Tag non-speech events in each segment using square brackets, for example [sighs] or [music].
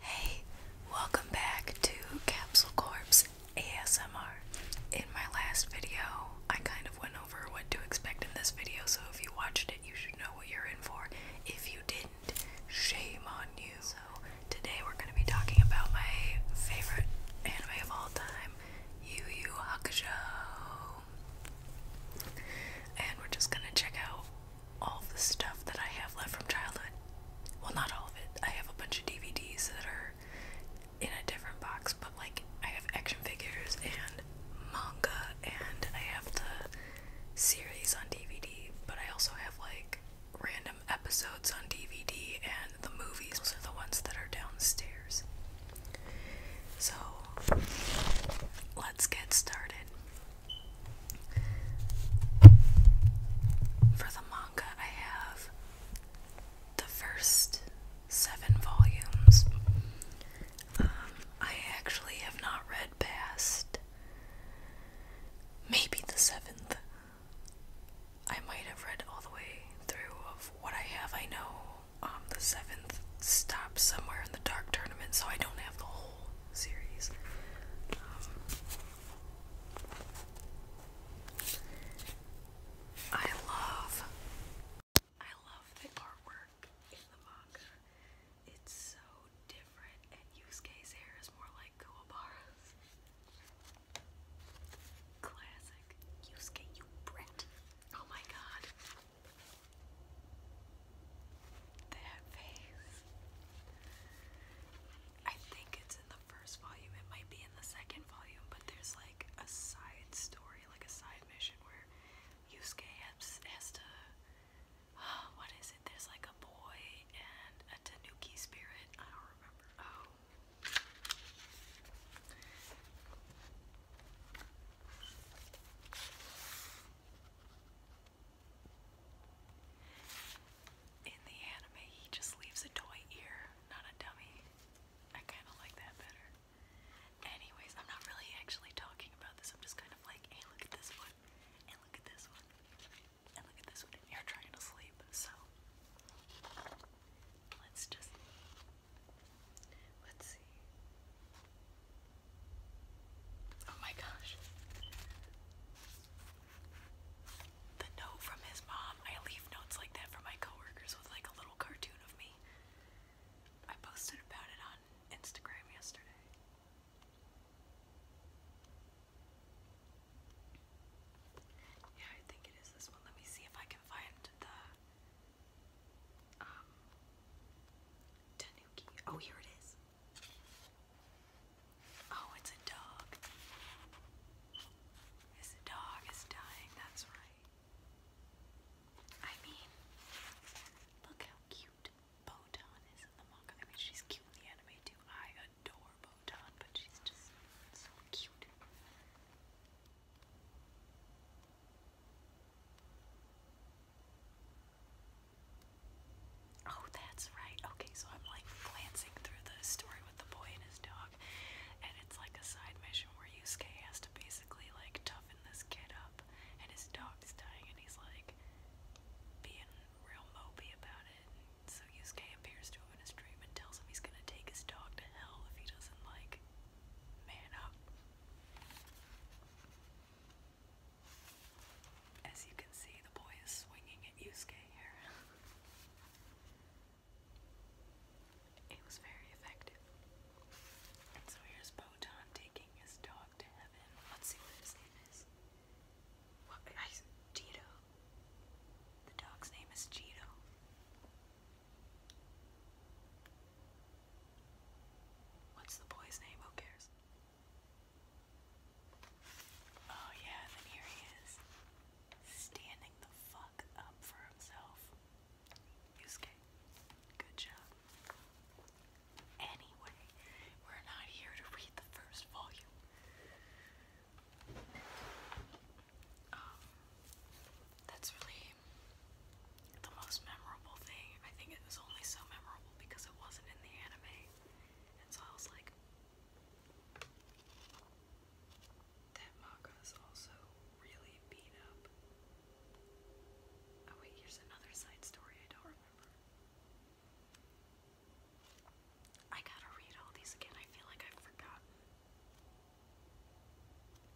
Hey, welcome back to Capsule Corpse ASMR. In my last video, I kind of went over what to expect in this video, so if you watched it, you should know what you're in for. If you didn't, shame on you. So, today we're going to be talking about my favorite anime of all time, Yu Yu Hakusho. And we're just going to check out all the stuff that I have left from childhood. Well, not all of it. I have a bunch of DVDs that are in a different box, but like I have action figures and manga, and I have the series on DVD, but I also have like random episodes on DVD and the movies. Those are the ones that are downstairs. So let's get started. For the manga, I have the first seven volumes. Um, I actually have not read past maybe the seventh. I might have read all the way through of what I have. I know um, the seventh stops somewhere in the dark tournament, so I don't have the whole series. I love, I love the artwork in the manga. It's so different, and Yusuke's hair is more like Kuwabara's. Classic. Yusuke, you brat. Oh my god. That face. I think it's in the first volume. It might be in the second volume, but there's like a side story, like a side mission where Yusuke has, has to. [sighs] what is it? There's like a boy and a tanuki spirit. I don't remember. Oh. In the anime, he just leaves a toy ear, not a dummy. I kind of like that better. Anyways, I'm not really actually talking about this. I'm just kind of like, hey, look at this one, and look at this one, and look at this one. And you're trying to sleep, so let's just let's see. Oh my gosh. The note from his mom. I leave notes like that for my coworkers with like a little cartoon of me. I posted about it on Instagram yesterday. Yeah, I think it is this one. Let me see if I can find the um, Tanuki. Oh, here it is. Oh, it's a dog. His dog is dying, that's right. I mean, look how cute Botan is in the manga. I mean, she's cute in the anime too. I adore Botan, but she's just so cute. Oh, that's right. Okay, so I'm like glancing through the story with the boy and his dog, and it's like a side mission where Yusuke has to basically like toughen this kid up, and his dog's dying, and he's like being real mopey about it. And so Yusuke appears to him in his dream and tells him he's gonna take his dog to hell if he doesn't like man up. As you can see, the boy is swinging at Yusuke here. [laughs] it was very effective. And so here's Botan taking his dog to heaven. Let's see what his name is. What? I, Cheeto. The dog's name is Cheeto. What's the boy's name? Who cares? Oh yeah, then here he is, standing the fuck up for himself. Yusuke, good job. Anyway, we're not here to read the first volume. Um, that's really the most memorable thing. I think it was only so memorable because it wasn't in the anime so I was like, that maca's also really beat up. Oh wait, here's another side story I don't remember. I gotta read all these again. I feel like I've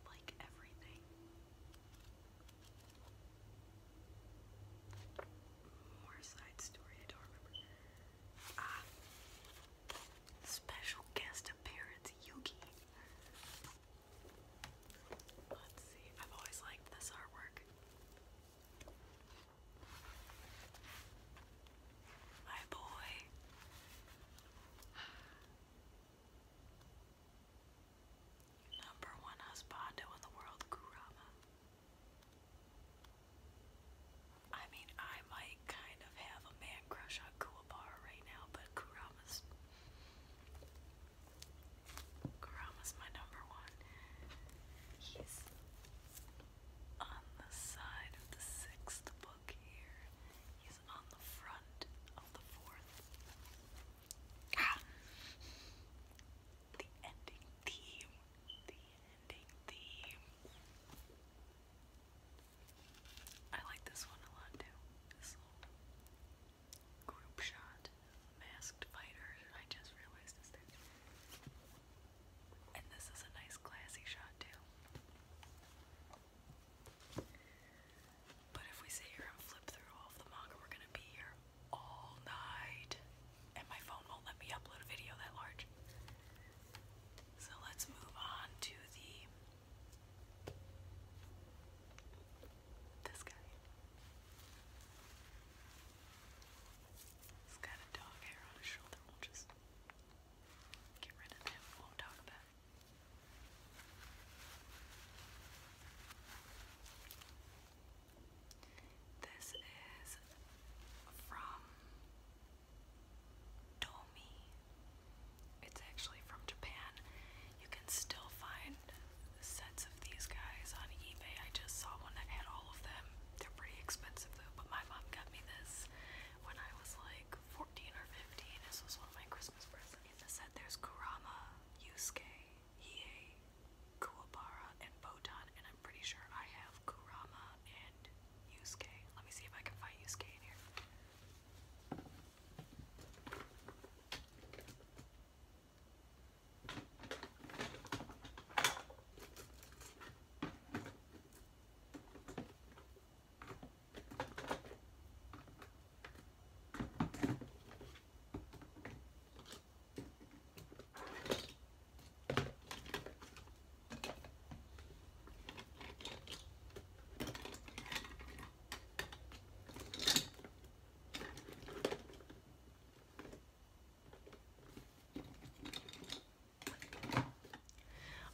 like everything. More side story, I don't remember. Ah. Special guest appearance, Yuki. Let's see, I've always liked this artwork. My boy. Number one husband in the world, Kurama. I mean, I might kind of have a man crush on Kuwabara right now, but Kurama's. Kurama's my number one. He's on the side of the sixth book here. He's on the front of the fourth. Ah the ending theme. The ending theme. I like this one a lot too. This little group shot, masked fighters. I just realized this thing. And this is a nice classy shot too. But if we sit here and flip through all of the manga, we're gonna be here all night, and my phone won't let me upload a video that large. So let's move on to the this guy. He's got a dog hair on his shoulder. We'll just get rid of him. We won't talk about this is from Tomi. It's actually from Japan. You can still find sets of these guys on eBay. I just saw one that had all of them. They're pretty expensive though, but my mom got me this when I was like 14 or 15. This was one of my Christmas presents. In the set, there's Kurama, Yusuke, Hiei, Kuwabara and Botan, and I'm pretty sure I have Kurama and Yusuke. Let me see if I can find Yusuke in here.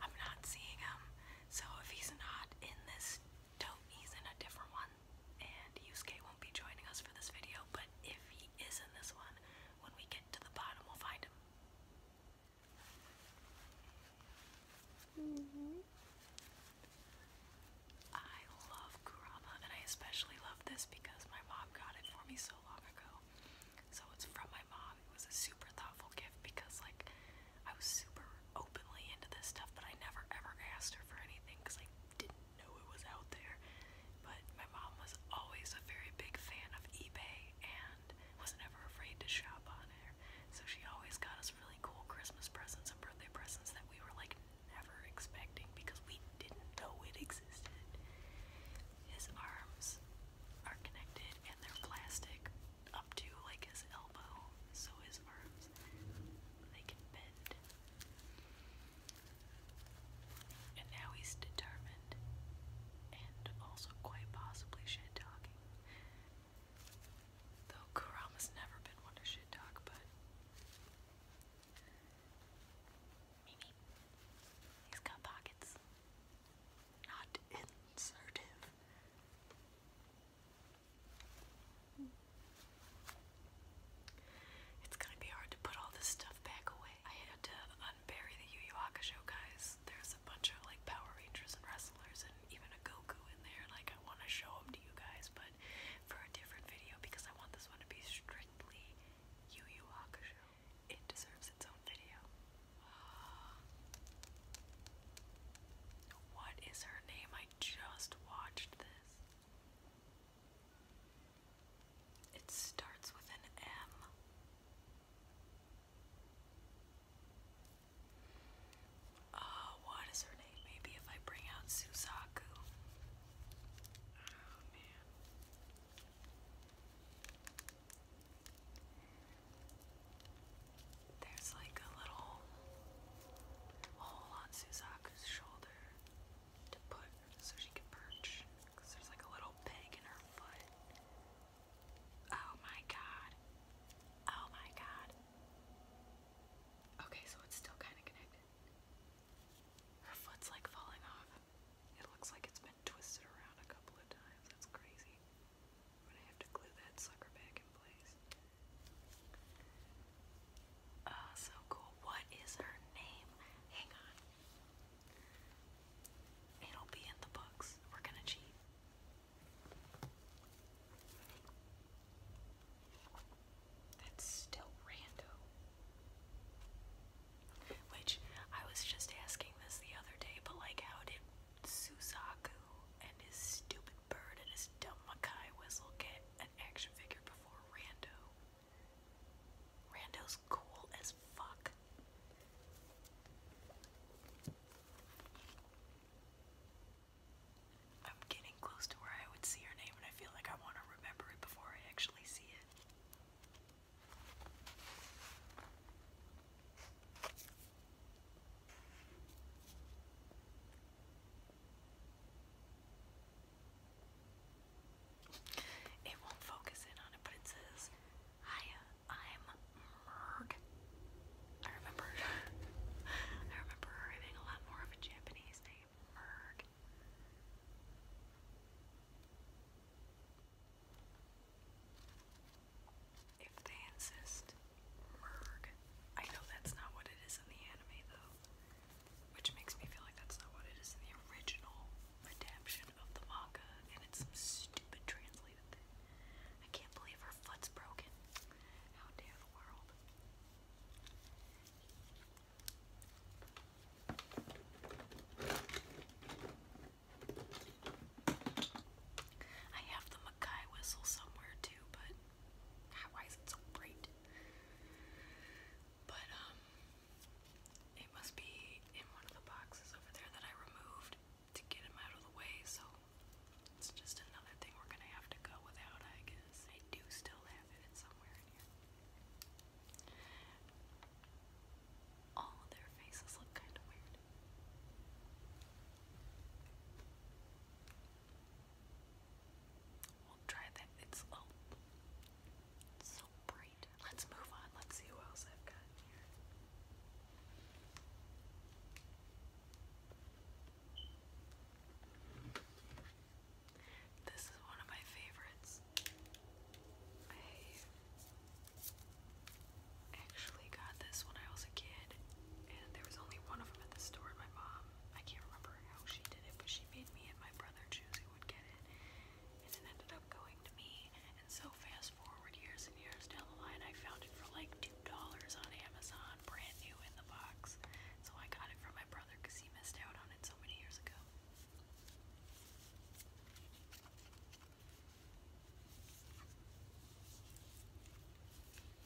I'm not seeing him, so if he's not in this tote, he's in a different one and Yusuke won't be joining us for this video, but if he is in this one, when we get to the bottom, we'll find him. I love Kurama, and I especially love this because my mom got it for me so long ago. So it's from my mom. It was a super thoughtful gift because, like, I was super openly into this stuff, but I never ever asked her for anything because I didn't know it was out there. But my mom was always a very big fan of eBay and was never afraid to shop on there. So she always got us really cool Christmas presents and birthday presents that we were like never expecting because we didn't know it existed. His arms are connected and they're plastic up to like his elbow, so his arms they can bend. And now he's determined and also quite possibly shit talking. Though Kurama's never been one to shit talk, but he's got pockets. Not insertive. It's gonna be hard to put all this stuff back away. I had to unbury the Yu Yu Hakusho guys. There's a bunch of like Power Rangers and wrestlers and even a Goku in there. Like I want to show them to you guys, but for a different video because I want this one to be strictly Yu Yu Hakusho. It deserves its own video. [gasps] What is her name? I just watched this. It starts with an M. Uh, what is her name? Maybe if I bring out Suzaku. Oh man. There's like a little hole on Suzaku's shoulder to put so she can perch because there's like a little peg in her foot. Oh my god. Oh my god. Okay, so it's still kind of connected. Her foot's like falling off. It looks like it's been twisted around a couple of times. That's crazy. I'm gonna have to glue that sucker back in place. Oh, so cool. What is her name? Hang on. It'll be in the books. We're gonna cheat. That's still random. Which I was just asking this the other day, but like, how did Suzaku and his stupid bird and his dumb Makai whistle get an action figure before? Rando. Rando's cool as fuck. I'm getting close to where I would see her name, and I feel like I want to remember it before I actually see it. It won't focus in on it, but it says, Hi, uh, I'm Merg. I remember [laughs] I remember having a lot more of a Japanese name, Merg. If they insist, Merg. I know that's not what it is in the anime though. Which makes me feel like that's not what it is in the original redemption of the manga, and it's some stupid translated thing. I can't believe her foot's broken. How dare the world. I have the Mackay whistle somewhere too, but why is it so bright? But, um, it must be in one of the boxes over there that I removed to get him out of the way, so it's just another thing we're gonna have to go without, I guess. I do still have it in somewhere in here. All of their faces look kind of weird. We'll try that. Oh, it's so bright. Let's move on. Let's see who else I've got This is one of my favorites. I actually got this when I was a kid, and there was only one of them at the store. my mom um, I can't remember how she did it, but she made me and my brother choose who would get it, and it ended up going to me. And so fast forward years and years down the line, I found it for like two dollars on Amazon, brand new in the box. So I got it from my brother because he missed out on it so many years ago. Yeah,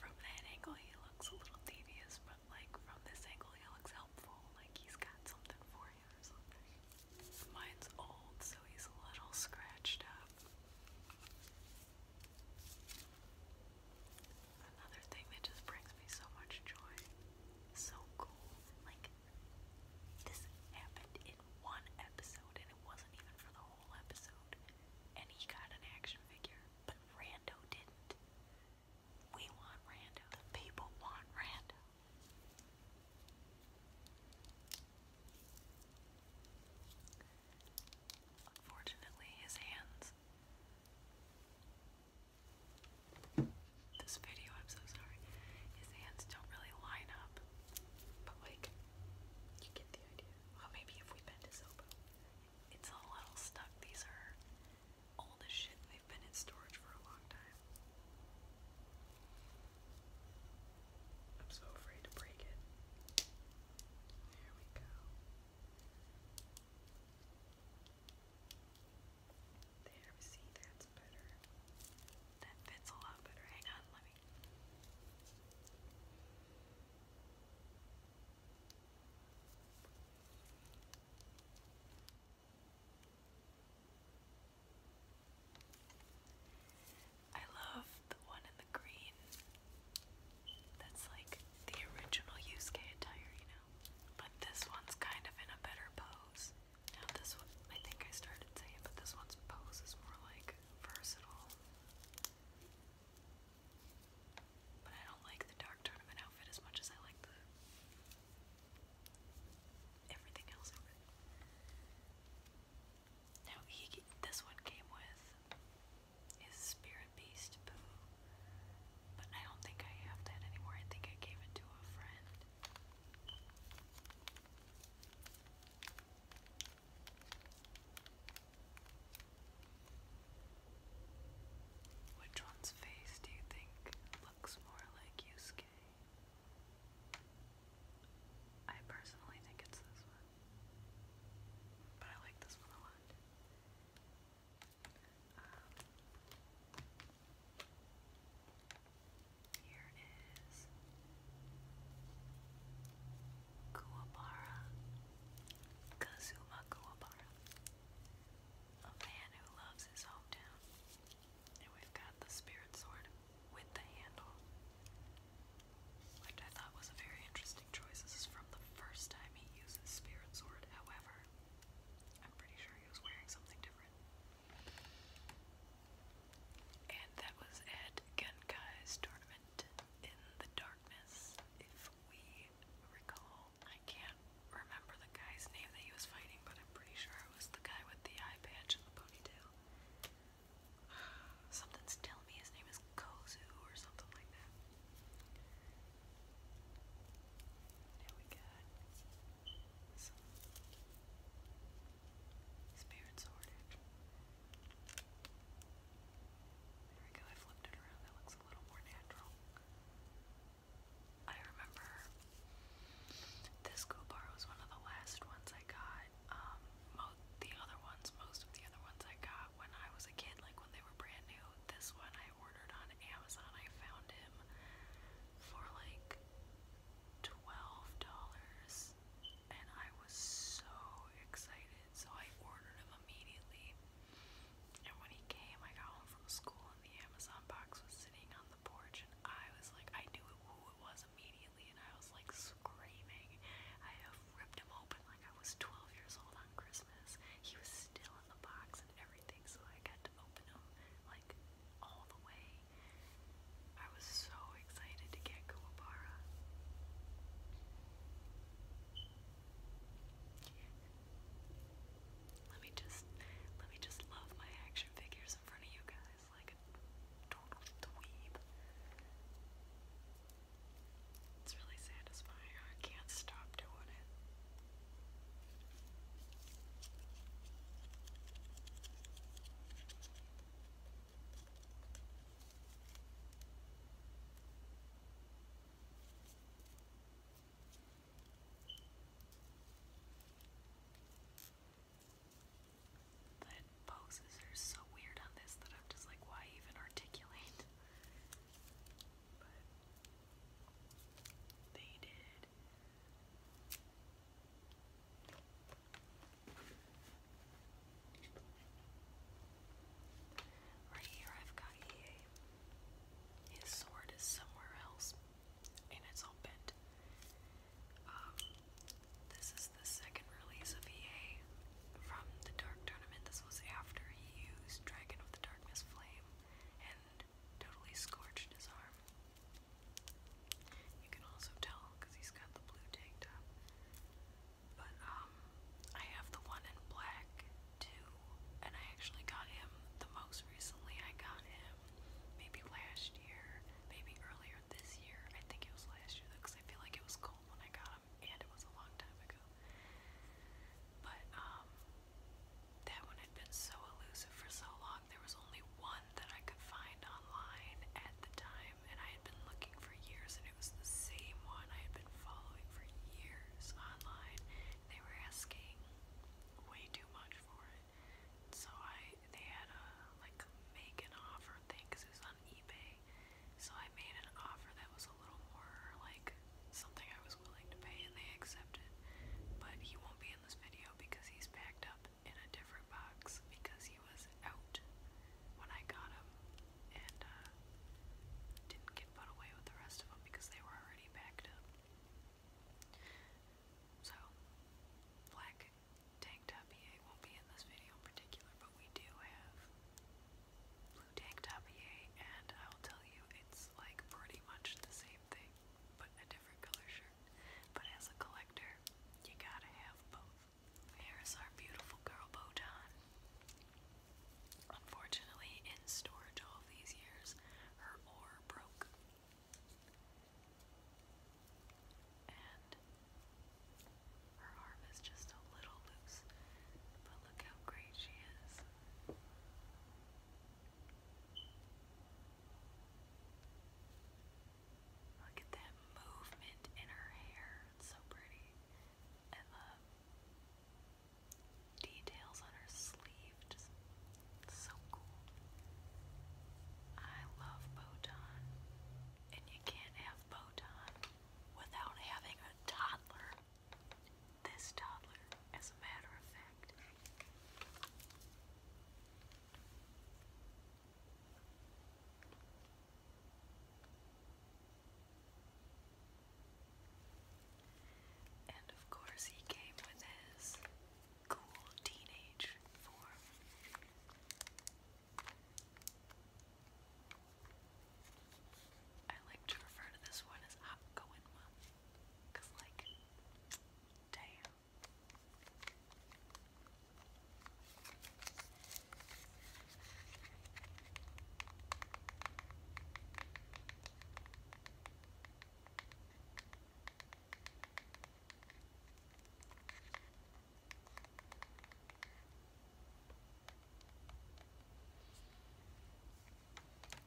from that angle he looks a little devious, but like from this angle he looks helpful, like he's got something for you or something. Mine's old, so he's a little scratched up. Another thing that just brings me so much joy. So cool. Like, this happened in one episode, and it wasn't even for the whole episode. And he got an action figure, but Rando didn't. We want Rando. The people want Rando. Unfortunately, his hands. This video, I'm so sorry. His hands don't really line up, but like, you get the idea. Well, maybe if we bend his elbow. It's a little stuck. These are old as shit. They've been in storage for a long time. I'm so afraid to break it. There we go. There, see, that's better. That fits a lot better. Hang on, let me. I love the one in the green that's like the original Yusuke attire, you know? But this one's kind of in a better pose. Now, this one, I think I started saying, but this one's pose is more like versatile. But I don't like the dark tournament outfit as much as I like the everything Now he this one came with his spirit beast poo, but I don't think I have that anymore. I think I gave it to a friend. Which one's face do you think looks more like you, Skip? I personally think it's this one. But I like this one a lot. Um, here is Kuwabara. Kazuma Kuwabara. A man who loves his hometown. And we've got the Spirit Sword with the handle, which I thought was a very interesting choice. This is from the first time he uses Spirit Sword, however, I'm pretty sure he was wearing something different. And that was at Gunkai's tournament in the darkness, if we recall. I can't remember the guy's name that he was fighting, but I'm pretty sure it was the guy with the eye patch [sighs] Something's telling me his name is Kozu or something like that. Now we got spirit sword. There we go, I flipped it around. That looks a little more natural. I remember this school was one of the last ones I got. Um, the other ones, most of the other ones I got when I was a kid, like when they were brand new. This one I ordered on Amazon. I found him for like twelve dollars, and I was so excited. So I ordered him immediately. And when he came, I got home from school, and the Amazon box was sitting on the porch and I was like, I knew who it was immediately and I was like screaming. I ripped him open like I was 12 years old on Christmas. He was still in the box and everything, so I got to open him like all the way. I was so excited to get Kuwabara. Let me just let me just love my action figures in front of you guys is like a total dweeb. It's really satisfying. I can't stop doing it. The poses are so weird on this that I'm just like, why even articulate? But they did. Right here, I've got EA. His sword is somewhere else, and it's all bent. Um, this is the second release of EA from the Dark Tournament. This was after he used Dragon of the Darkness Flame and totally scorched his arm. You can also tell because he's got the blue tank top. But, um, I have the one in black too, and I actually got him the most recently. I got him maybe last year, maybe earlier this year. I think it was last year though, because I feel like it was cold when I got them, and it was a long time ago. But um, that one had been so elusive for so long. There was only one that I could find online at the time, and I had been looking for years, and it was the same one I had been following for years online. They were asking way too much for it it. So I they had a like make an offer thing because it was on eBay. So I made an offer that was a little more like something I was willing to pay, and they accepted. But he won't be in this video because he's packed up in a different box because he was out when I got him and uh, didn't get put away with the rest of them because they were already packed up. So, black tank top EA won't be in this video in particular, but we do have blue tank top EA, and I'll tell you it's like pretty much the same thing, but a different color shirt. But as a collector, you gotta have both. Here is our beautiful girl Botan. Unfortunately, in storage all these years, her ore broke her arm is just a little loose, but look how great she is. Look at that movement in her hair. It's so pretty. And the details on her sleeve it's so cool. I love Botan. And you can't have Botan without having a toddler. This toddler, as a matter of fact. And of course, he came with his cool teenage form. I like to refer to this one as I'm Cause like damn.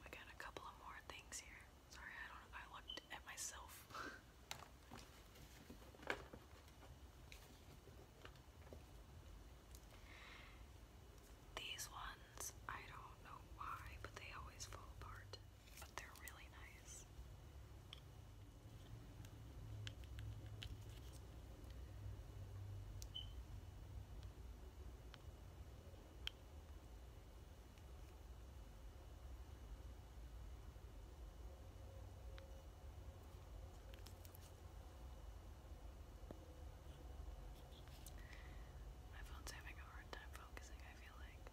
We got a couple of more things here. Sorry, I don't I looked at myself. [laughs] These ones, I don't know why, but they always fall apart but they're really nice. My phone's having a hard time focusing, I feel like.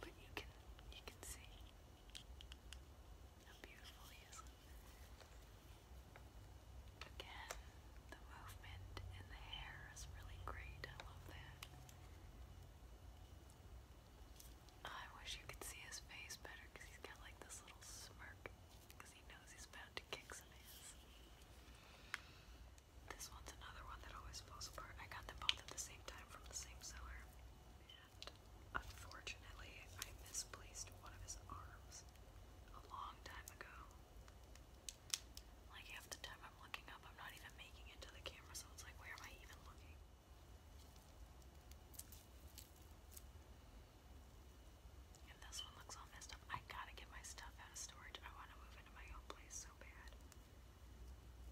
But you can you can see how beautiful he is. Again, the movement in the hair is really great. I love that. I wish you could see his face better because he's got like this little smirk because he knows he's about to kick some ass. This one's another one that always falls apart. I got them both at the same time from the same seller. And unfortunately, I misplaced one of his arms a long time ago. Like half the time I'm looking up, I'm not even making it to the camera, so it's like, where am I even looking? And this one looks all messed up. I gotta get my stuff out of storage. I want to move into my own place.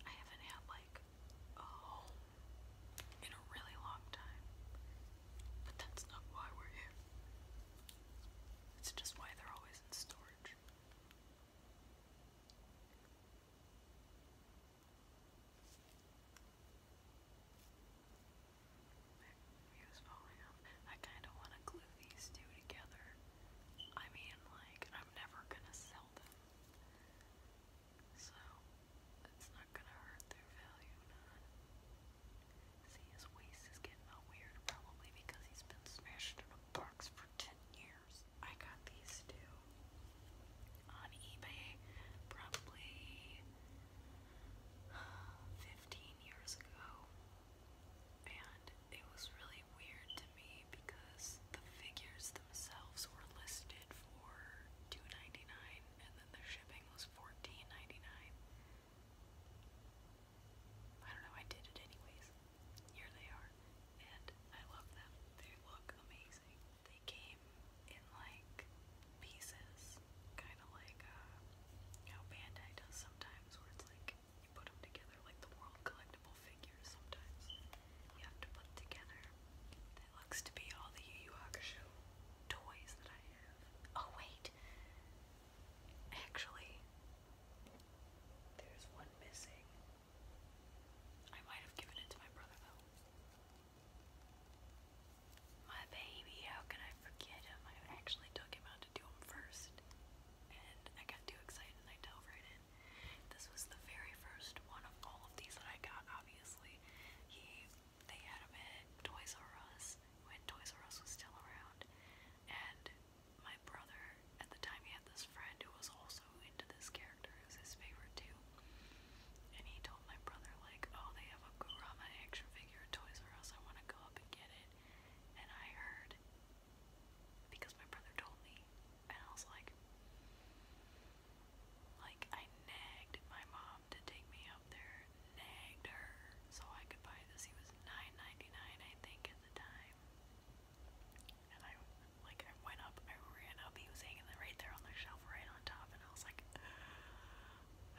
I haven't had like in a really long time. But that's not why we're here. It's just why they're always in storage. My view's falling off. I kind of want to glue these two together. I mean, like, I'm never gonna sell them. So, it's not gonna hurt their value, See, his waist is getting all weird, probably because he's been smashed in a box for 10 years. I got these two on eBay probably uh, 15 years ago and it was really weird to me because the figures themselves were listed for $2.99 and then their shipping was $14.99. I don't know, I did it anyways. Here they are, and I love them. They look amazing. They came in like pieces, kind of like uh, how Bandai does sometimes, where it's like you put them together like the world collectible figures sometimes you have to put together. That looks to be all the Yu Yu Hakusho toys that I have. Oh wait, actually, there's one missing. I might have given it to my brother though. My baby, how can I forget him? I actually took him out to do him first and I got too excited and I dove right in. This was the very first one of all of these that I got, obviously. He, they had him at Toys R Us when Toys R Us was still around, and my brother, at the time, he had this friend who was also into this character, it was his favorite too. And he told my brother, like, oh, they have a Gurama action figure at Toys R Us, I want to go up and get it. And I heard because my brother told me, and I was like, like I nagged my mom to take me up there, nagged her so I could buy this. He was nine ninety nine, I think, at the time. And I like I went up, I ran up. He was hanging right there on the shelf, right on top, and I was like, [sighs]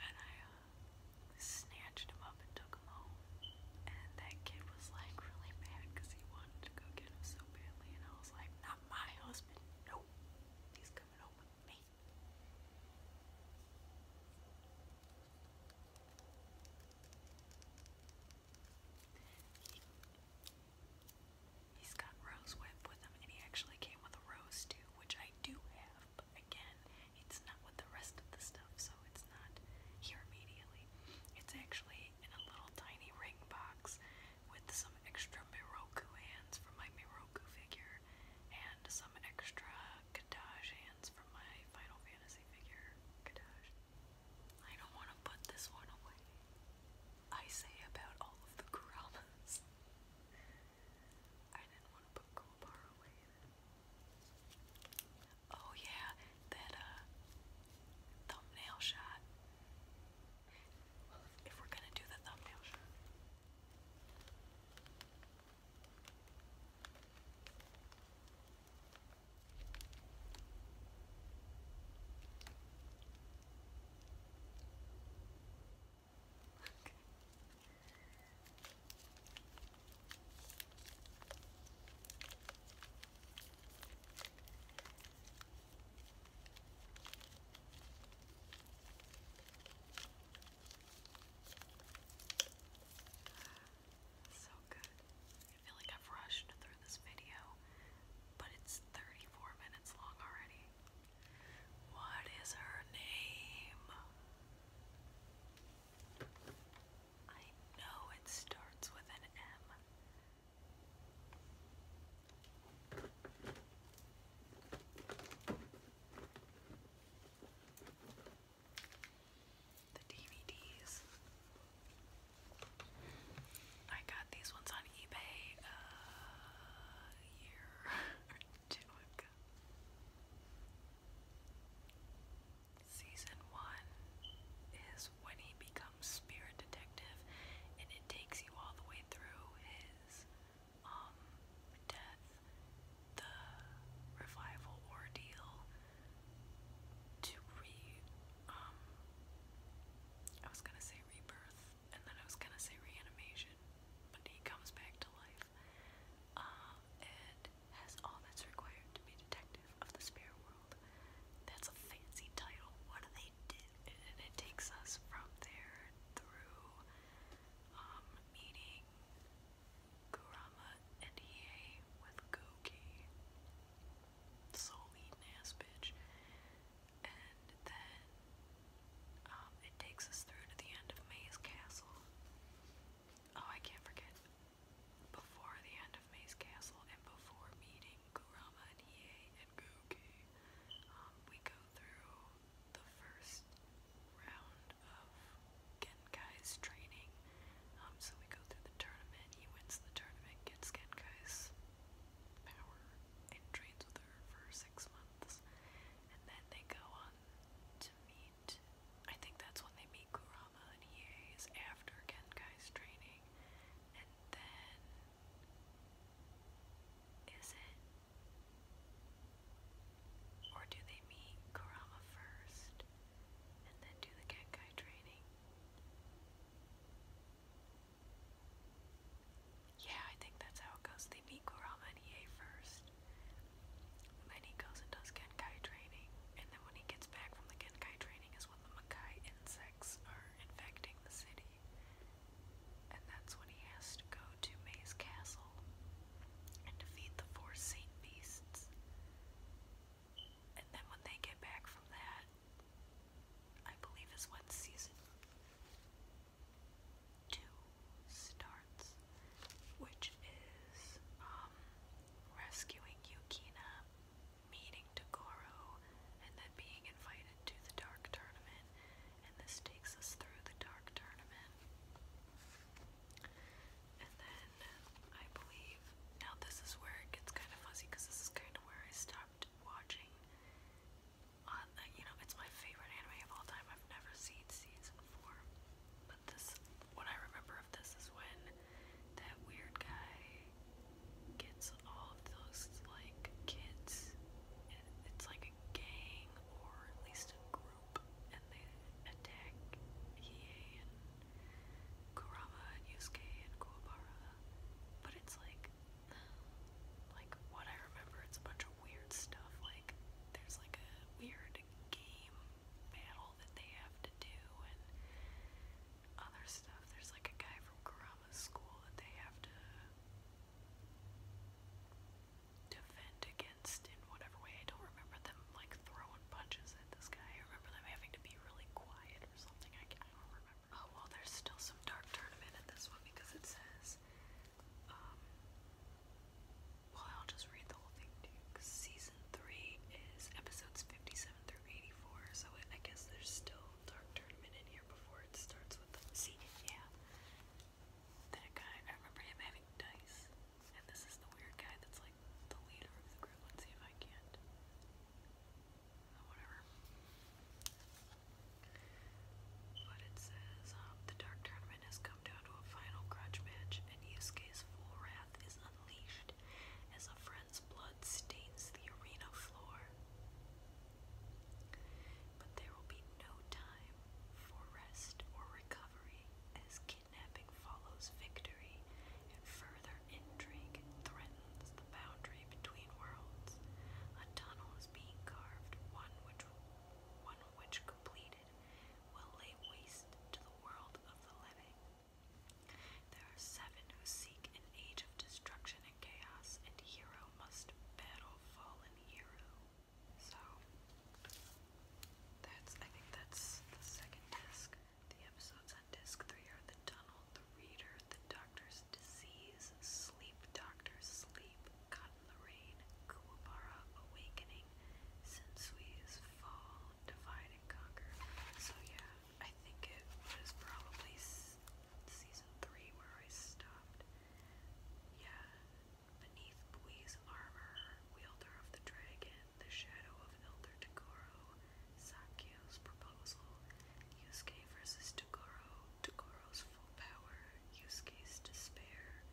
and I uh, snatched him up and took him home. And that kid was like really mad because he wanted to go get him so badly. And I was like, not my husband. No, he's coming home with me. He, he's got rose whip with him, and he actually came with a rose too, which I do have. But again, it's not with the rest of the stuff, so it's not here immediately. It's actually in a little tiny ring box with some extra Miroku hands from my Miroku figure and some extra Kadaj hands from my Final Fantasy figure. Kadaj. I don't want to put this one away. I say about all of the Kuramas. [laughs] I didn't want to put Gulbar away. Oh yeah, that uh thumbnail shot. if we're gonna do the thumbnail shot. So good. I feel like I've rushed through this video, but it's 34 minutes long already. What is her name? I know it starts with an M. The DVDs. I got these ones on eBay uh, a year [laughs] or two ago. Season 1 is when he becomes spirit detective and it takes you all the way through his um, death, the revival ordeal to re um, I was gonna say rebirth and then I was gonna say reanimation, but he comes back to life. Uh, and has all that's required to be detective of the spirit world. That's a fancy title. What do they do? And it takes us from there through um, meeting Kurama and Hiei with Goki, soul eating ass bitch, and then um, it takes us through to the end of May's Castle. Oh, I can't forget. Before the end of Maze Castle and before meeting Kurama and Hiei and Goki, um, we go through the first round of Genkai's training. Um, so we go through the tournament, he wins the tournament, gets Genkai's power, and trains with her for six months. And then they go on to meet I think that's when they meet Kurama and Hiei is after Genkai's training. And then is it? Or do they meet Kurama first and then do the Genkai training? Yeah, I think that's how it goes. They meet Kurama and Hiei first then he goes and does Genkai training, and then when he gets back from the Genkai training is when the Makai insects are infecting the city. And that's when he has to go to May's castle and defeat the four saint beasts. And then when they get back from that, I believe is when season two starts which is um, rescuing Yukina, meeting Togoro, and then being invited to the Dark Tournament. And this takes us through the Dark Tournament. And then I believe now this is where it gets kind of fuzzy because this is kind of where I stopped watching. Uh, you know, it's my favorite anime of all time. I've never seen season four, what I remember of this is when that weird guy gets all of those, like, kids. and It's like a gang, or at least a group, and they attack Hiei and Kurama and Yusuke and Kuwabara. But it's like, like, what I remember, it's a bunch of weird stuff, like, there's like a weird game battle that they have to do and other stuff. There's like a guy from Kurama's school that they have to defend against in whatever way. I don't remember them like throwing punches at this guy. I remember them having to be really quiet or something. I, I don't remember. Oh well, there's still some dark tournament in this one because it says um, well, I'll just read the whole thing to you. season three is episodes fifty-seven through eighty-four, so I guess there's still Dark Tournament in here before it starts with the see, yeah. That guy, I remember him having dice, and this is the weird guy that's like the leader of the group. Let's see if I can't. Oh, whatever. But it says um, the Dark Tournament has come down to a final grudge match, and Yusuke's full wrath is unleashed as a friend's blood stains the arena floor. But there will be no time for rest or recovery as kidnapping follows victory and further intrigue threatens the boundary between worlds. A tunnel is being carved, one which one which completed will lay waste to the world there are seven who seek an age of destruction and chaos, and hero must battle fallen hero. So, that's, I think that's the second disc. The episodes on disc three are The Tunnel, The Reader, The Doctor's Disease, Sleep Doctor's Sleep, Caught in the Rain, Kuwabara Awakening, Sensui's Fall, Divide and Conquer. So yeah, I think it was probably season three where I stopped. Yeah, beneath Bui's armor, wielder of the dragon, the shadow of Elder Togoro, Sakyu's proposal, Yusuke versus Togoro, Togoro's full power, Yusuke's despair,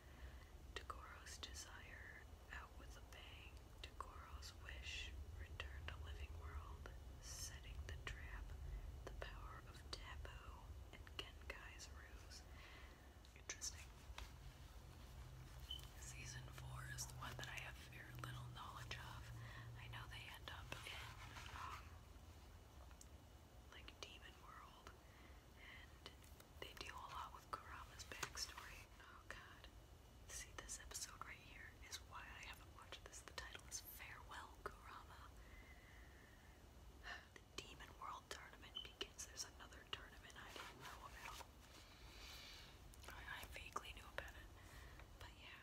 Tagoro's desire, out with a bang, Tagoro's wish, return to living world, setting the trap, the power of taboo, and Genkai's ruse. Interesting. Season 4 is the one that I have very little knowledge of. I know they end up in, um, like, Demon World, they deal a lot with Kurama's backstory. Oh god. See, this episode right here is why I haven't watched this. The title is Farewell Kurama. [sighs] The Demon World Tournament begins. There's another tournament I didn't know about. I, vaguely knew about it. But yeah.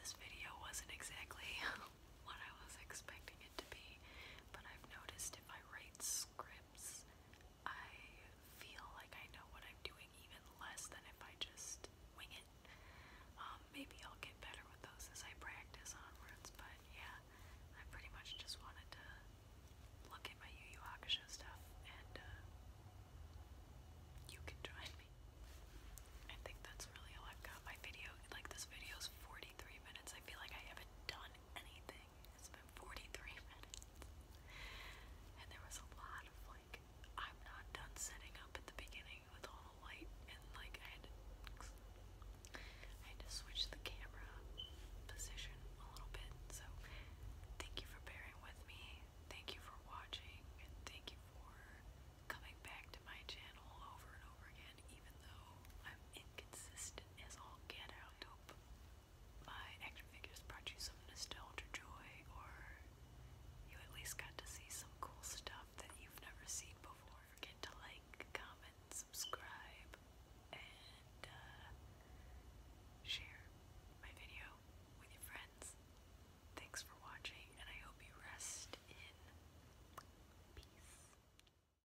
This video wasn't exactly [laughs] what I was expecting it to be, but I've noticed if I write script. I feel like I know what I'm doing even less than if I just wing it. Um, maybe I'll get better with those as I practice onwards, but yeah, I pretty much just wanted to look at my Yu Yu stuff and uh, you can join me. I think that's really all I've got. My video, like this video's 43 minutes. I feel like I haven't done anything. It's been 43 minutes. And there was a lot of like, I'm not done setting up at the beginning with all the light, and like, I had to, switch the camera position a little bit. So, thank you for bearing with me. Thank you for watching, and thank you for coming back to my channel over and over again, even though I'm inconsistent as all get out. Hope my action figures brought you some nostalgia joy, or you at least got to see some cool stuff that you've never seen before. Forget to like, comment, subscribe, and uh, share my video with your friends. Thanks for watching, and I hope you rest in peace.